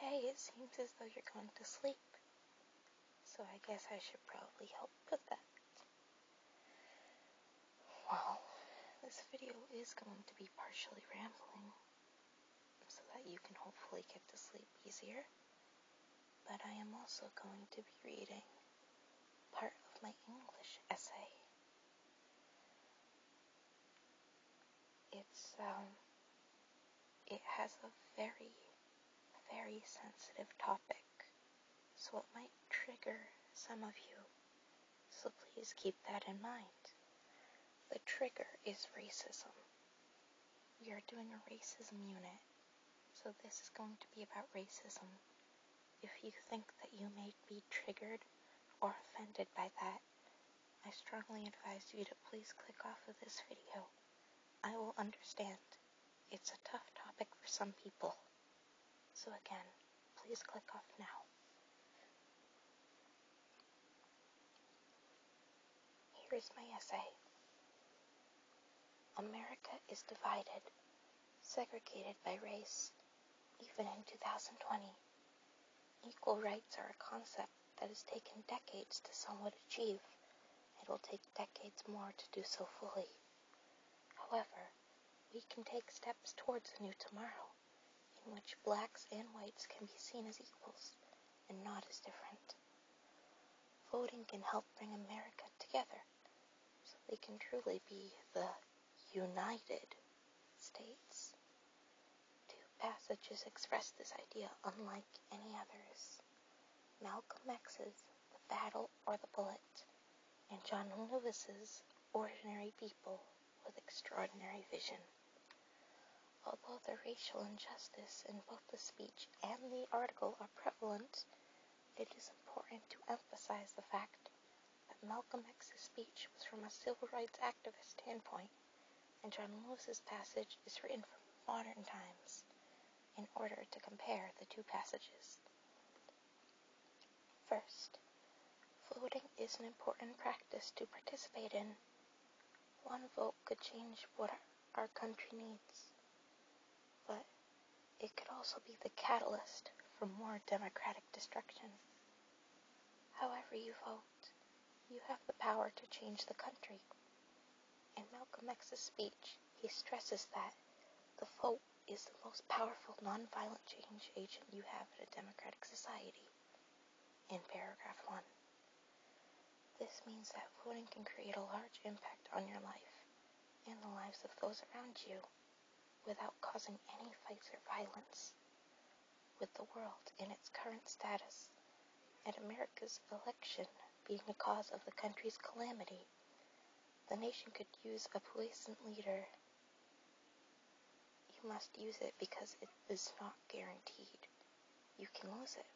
Hey, it seems as though you're going to sleep. So I guess I should probably help with that. Well, this video is going to be partially rambling so that you can hopefully get to sleep easier. But I am also going to be reading part of my English essay it's um, it has a very, very sensitive topic, so it might trigger some of you. So please keep that in mind. The trigger is racism. We are doing a racism unit, so this is going to be about racism. If you think that you may be triggered or offended by that, I strongly advise you to please click off of this video. I will understand. It's a tough topic for some people. So again, please click off now. Here is my essay. America is divided, segregated by race, even in 2020. Equal rights are a concept that has taken decades to somewhat achieve. It will take decades more to do so fully. However, we can take steps towards a new tomorrow in which blacks and whites can be seen as equals and not as different. Voting can help bring America together so we can truly be the united states. Two passages express this idea unlike any others. Malcolm X's The Battle or the Bullet, and John Lewis's Ordinary People with Extraordinary Vision. Although the racial injustice in both the speech and the article are prevalent, it is important to emphasize the fact that Malcolm X's speech was from a civil rights activist standpoint, and John Lewis's passage is written from modern times in order to compare the two passages. First, voting is an important practice to participate in. One vote could change what our country needs, but it could also be the catalyst for more democratic destruction. However you vote, you have the power to change the country. In Malcolm X's speech, he stresses that the vote is the most powerful nonviolent change agent you have in a democratic society. In paragraph 1, this means that voting can create a large impact on your life and the lives of those around you without causing any fights or violence. With the world in its current status and America's election being the cause of the country's calamity, the nation could use a puissant leader. You must use it because it is not guaranteed. You can lose it.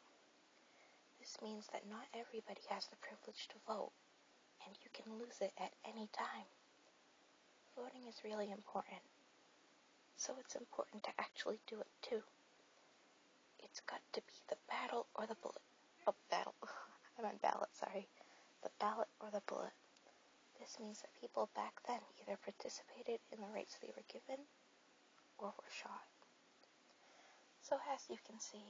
This means that not everybody has the privilege to vote, and you can lose it at any time. Voting is really important, so it's important to actually do it too. It's got to be the battle or the bullet. A oh, battle. I meant ballot, sorry. The ballot or the bullet. This means that people back then either participated in the rights they were given or were shot. So, as you can see,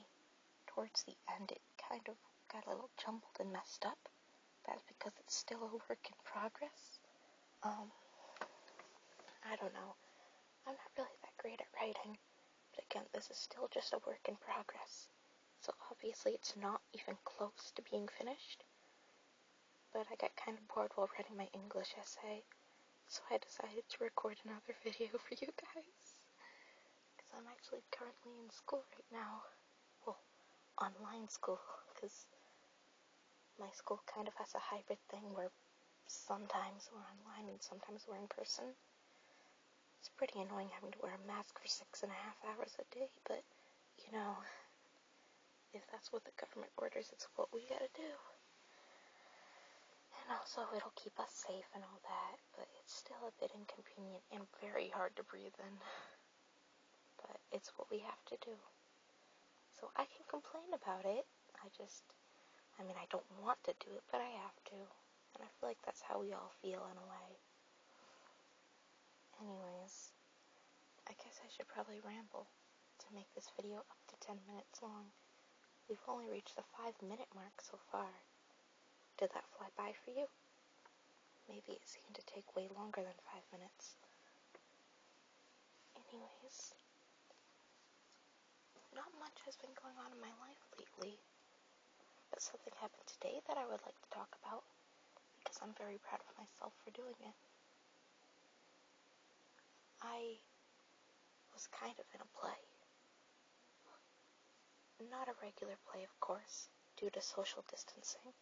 towards the end it kind of got a little jumbled and messed up, that's because it's still a work in progress. Um, I don't know. I'm not really that great at writing, but again, this is still just a work in progress. So obviously, it's not even close to being finished. But I got kind of bored while writing my English essay, so I decided to record another video for you guys. Because I'm actually currently in school right now well, online school, because my school kind of has a hybrid thing where sometimes we're online and sometimes we're in person. It's pretty annoying having to wear a mask for six and a half hours a day, but you know, if that's what the government orders, it's what we gotta do. And also, it'll keep us safe and all that but it's still a bit inconvenient and very hard to breathe in. But it's what we have to do. So I can complain about it. I just, I mean, I don't want to do it, but I have to. And I feel like that's how we all feel in a way. Anyways, I guess I should probably ramble to make this video up to 10 minutes long. We've only reached the 5 minute mark so far, did that fly by for you? Maybe it seemed to take way longer than five minutes. Anyways, not much has been going on in my life lately, but something happened today that I would like to talk about because I'm very proud of myself for doing it. I was kind of in a play. Not a regular play, of course, due to social distancing,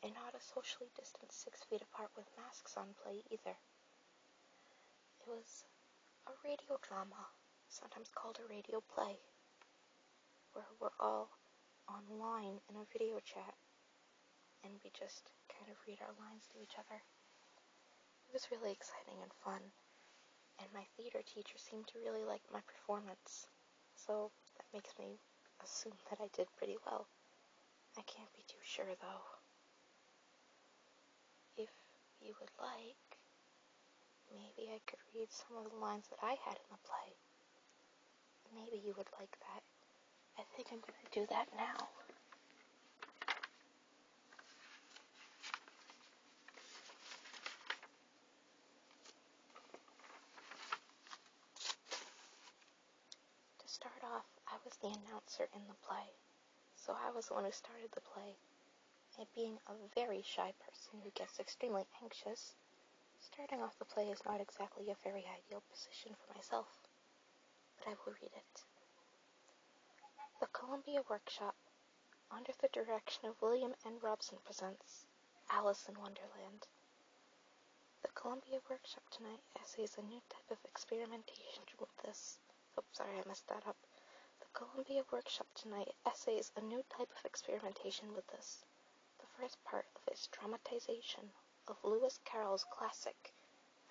and not a socially distanced six feet apart with masks on play either. It was a radio drama, sometimes called a radio play, where we're all online in a video chat and we just kind of read our lines to each other. It was really exciting and fun, and my theater teacher seemed to really like my performance, so that makes me assume that I did pretty well. I can't be too sure though. If you would like, maybe I could read some of the lines that I had in the play. Maybe you would like that. I think I'm going to do that now. To start off, I was the announcer in the play, so I was the one who started the play. And being a very shy person who gets extremely anxious, starting off the play is not exactly a very ideal position for myself. But I will read it. The Columbia Workshop under the direction of William N. Robson presents Alice in Wonderland. The Columbia workshop tonight essays a new type of experimentation with this. Oh, sorry, I messed that up. The Columbia workshop tonight essays a new type of experimentation with this. The first part of its dramatization of Lewis Carroll's classic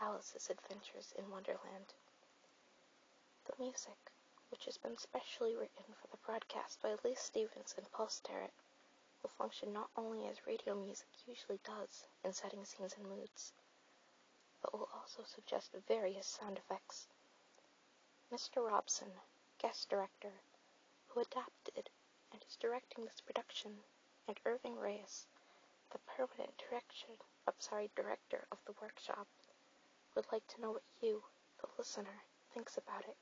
Alice's Adventures in Wonderland. The music, which has been specially written for the broadcast by Lee Stevens and Paul Sterrett, will function not only as radio music usually does in setting scenes and moods, but will also suggest various sound effects. Mr. Robson, guest director, who adapted and is directing this production, and Irving Reyes, the permanent direction, I'm sorry, director of the workshop would like to know what you, the listener, thinks about it.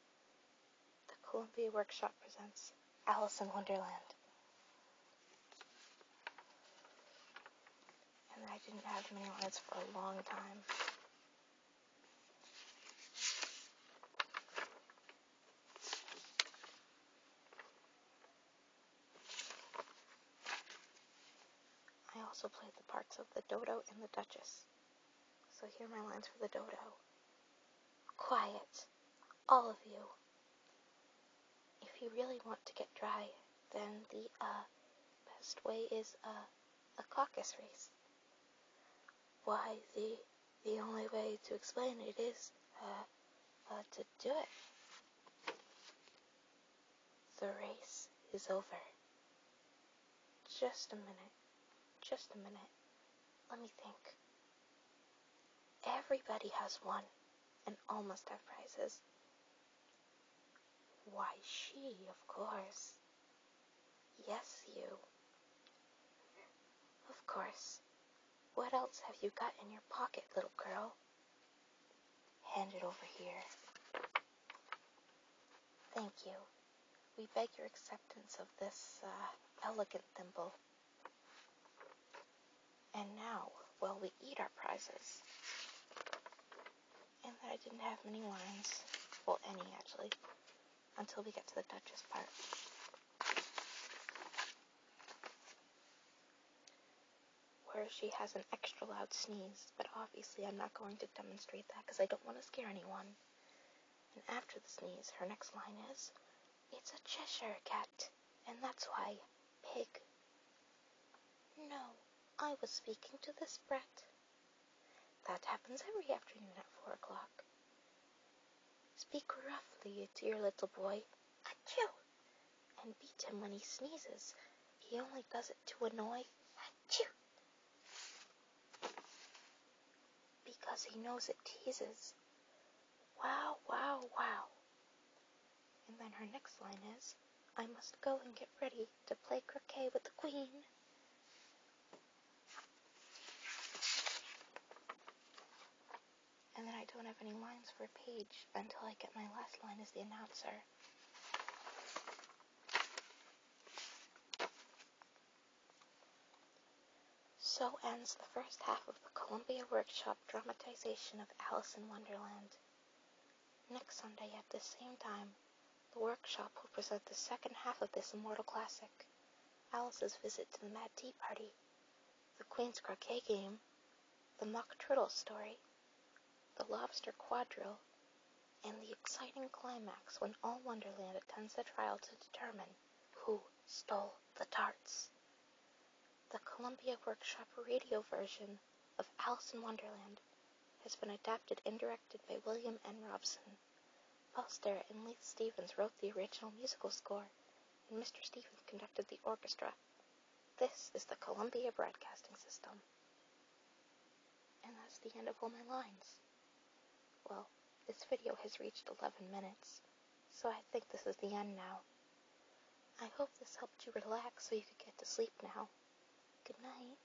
The Columbia Workshop presents Alice in Wonderland. And I didn't have many words for a long time. I also played the parts of the Dodo and the Duchess. So here are my lines for the Dodo. Quiet, all of you. If you really want to get dry, then the uh, best way is uh, a caucus race. Why, the, the only way to explain it is uh, uh to do it. The race is over. Just a minute. Just a minute. Let me think. Everybody has won and almost have prizes. Why, she, of course. Yes, you. Of course. What else have you got in your pocket, little girl? Hand it over here. Thank you. We beg your acceptance of this uh, elegant thimble. And now, while we eat our prizes, and that I didn't have many wines, well, any actually, until we get to the Duchess part where she has an extra loud sneeze, but obviously I'm not going to demonstrate that because I don't want to scare anyone. And after the sneeze, her next line is, It's a Cheshire cat, and that's why, pig. No, I was speaking to the brat. That happens every afternoon at four o'clock. Speak roughly to your little boy. Achoo! and beat him when he sneezes. He only does it to annoy Achoo! because he knows it teases. Wow, wow, wow. And then her next line is, I must go and get ready to play croquet with the queen and then I don't have any lines for a page until I get my last line as the announcer. So ends the first half of the Columbia Workshop dramatization of Alice in Wonderland. Next Sunday at the same time, the workshop will present the second half of this immortal classic, Alice's visit to the Mad Tea Party, the Queen's Croquet Game, the Mock Turtle Story, the Lobster Quadrille, and the exciting climax when all Wonderland attends the trial to determine who stole the tarts. The Columbia Workshop radio version of Alice in Wonderland has been adapted and directed by William N. Robson. Paul Starrett and Leith Stevens wrote the original musical score, and Mr. Stevens conducted the orchestra. This is the Columbia Broadcasting System. And that's the end of all my lines. Well, this video has reached 11 minutes, so I think this is the end now. I hope this helped you relax so you could get to sleep now. Good night.